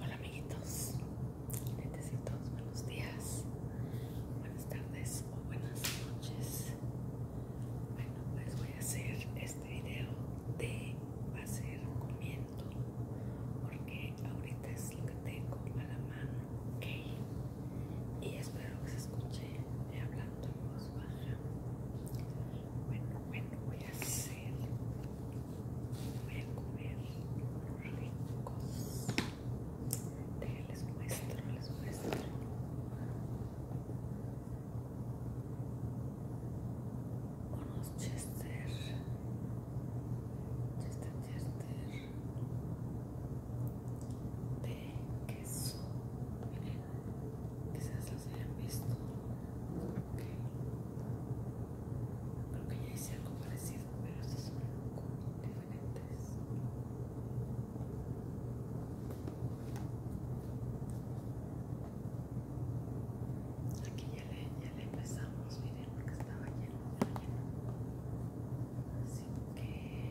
Hola amiguitos, netecitos, buenos días, buenas tardes o buenas noches. Bueno, pues voy a hacer este video de hacer comiendo porque ahorita es lo que tengo a la mano, ok. Y espero que se escuche hablando en voz baja. Bueno, bueno, voy a hacer voy a comer ricos les muestro, les muestro unos chester chester chester de queso miren quizás los hayan visto okay. Creo que ya hice algo parecido, pero son un poco diferentes. Aquí ya le, empezamos, miren, porque estaba lleno, estaba lleno. Así que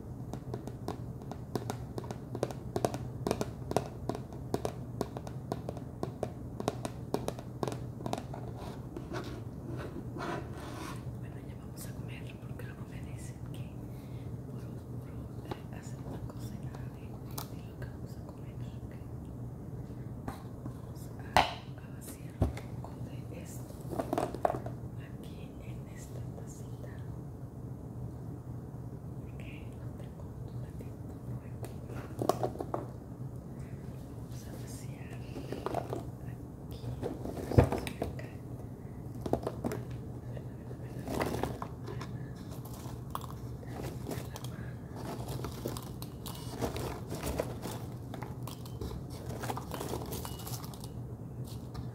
Bueno, ya vamos a comer porque luego me dicen que por, oscuro eh, hacer una cosa nada de, lo que vamos a comer. Okay. Vamos a, a vaciar un esto aquí en esta tacita porque no tengo un vamos a vaciar aquí Vamos a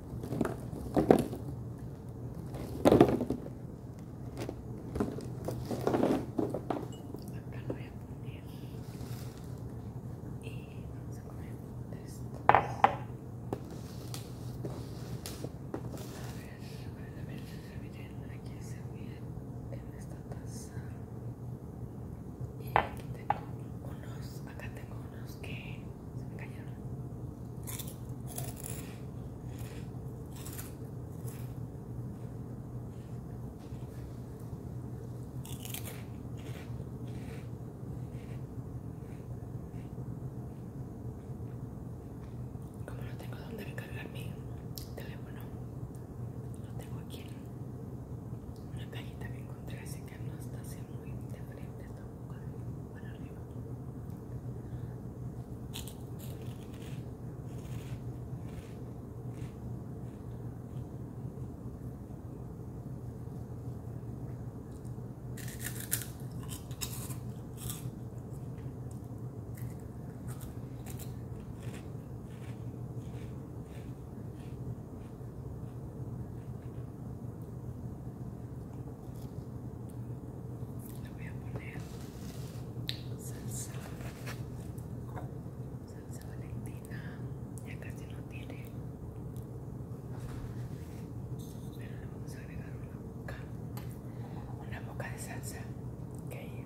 Acá lo voy a poner y vamos a poner esto. A ver, a ver, a ver si se miren. Aquí se miren en esta taza y aquí tengo unos acá tengo unos que se me cayeron como no tengo donde recargar mi teléfono, lo tengo aquí en una cajita que encontré, así que no está siempre muy de frente hasta para arriba le voy a poner salsa, salsa valentina, ya casi no tiene, pero le vamos a agregar una boca, una boca de salsa que hay.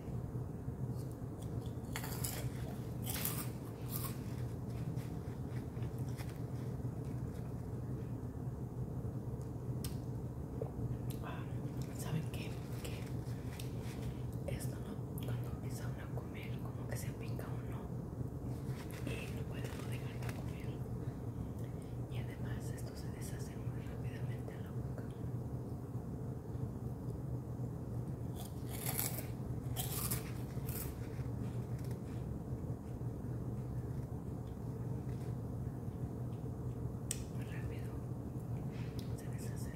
¿Saben qué? esto no, cuando empieza a comer, como que se pica uno y no puede no dejar de comer. Y además, esto se deshace muy rápidamente en la boca. Muy rápido se deshace.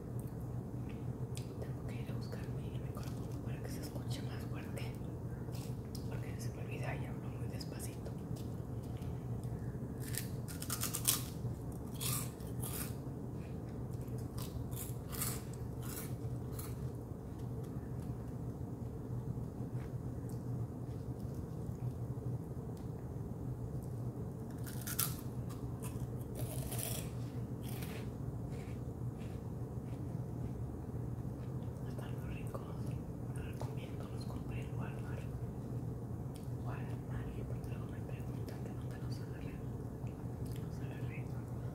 Tengo que ir a buscarme el micrófono para que se escuche más fuerte. Porque se me olvida y hablo muy despacito. Están los ricos, los recomiendo, los compré en Walmart. Walmart, porque luego me preguntan de dónde los agarré. Los agarré en Walmart.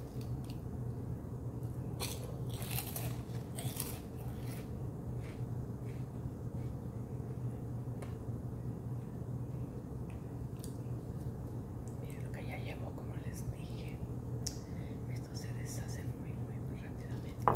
Miren lo que ya llevo, como les dije. Esto se deshace muy, muy, muy rápidamente.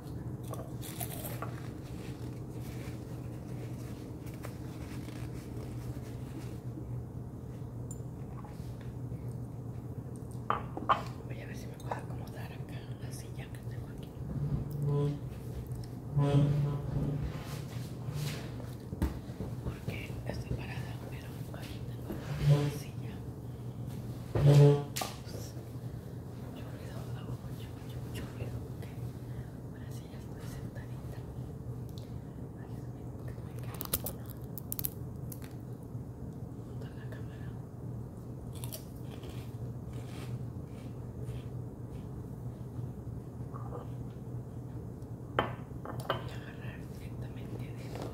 Voy a ver si me puedo acomodar acá en la silla que tengo aquí. Porque estoy parada, pero aquí tengo la silla mucho ruido, hago mucho, mucho, mucho ruido. Ahora sí ya estoy sentadita. si me cae una junto a la cámara. Voy a agarrar directamente de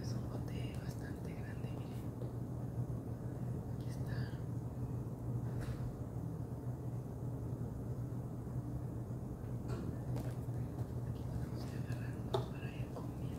Es un bote bastante grande, miren. Aquí está. Aquí tenemos que agarrarnos para ir comiendo.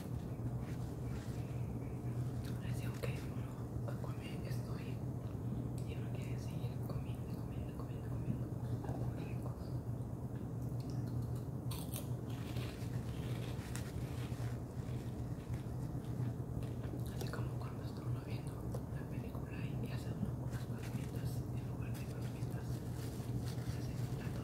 es que bueno, estoy y uno quiere seguir comiendo, comiendo, comiendo, comiendo Así como cuando uno viendo la película y hace unas palomitas en lugar de palomitas, hace plato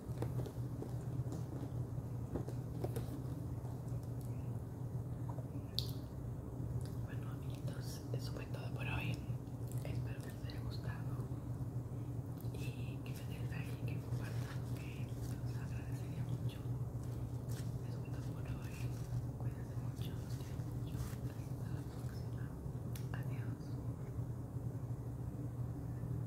Bueno amiguitos, eso fue todo por hoy. Espero que les haya gustado y que me dejen like que compartan, que nos agradecería mucho. Eso fue todo por hoy. Cuídense mucho, mucho. Hasta la próxima. Adiós.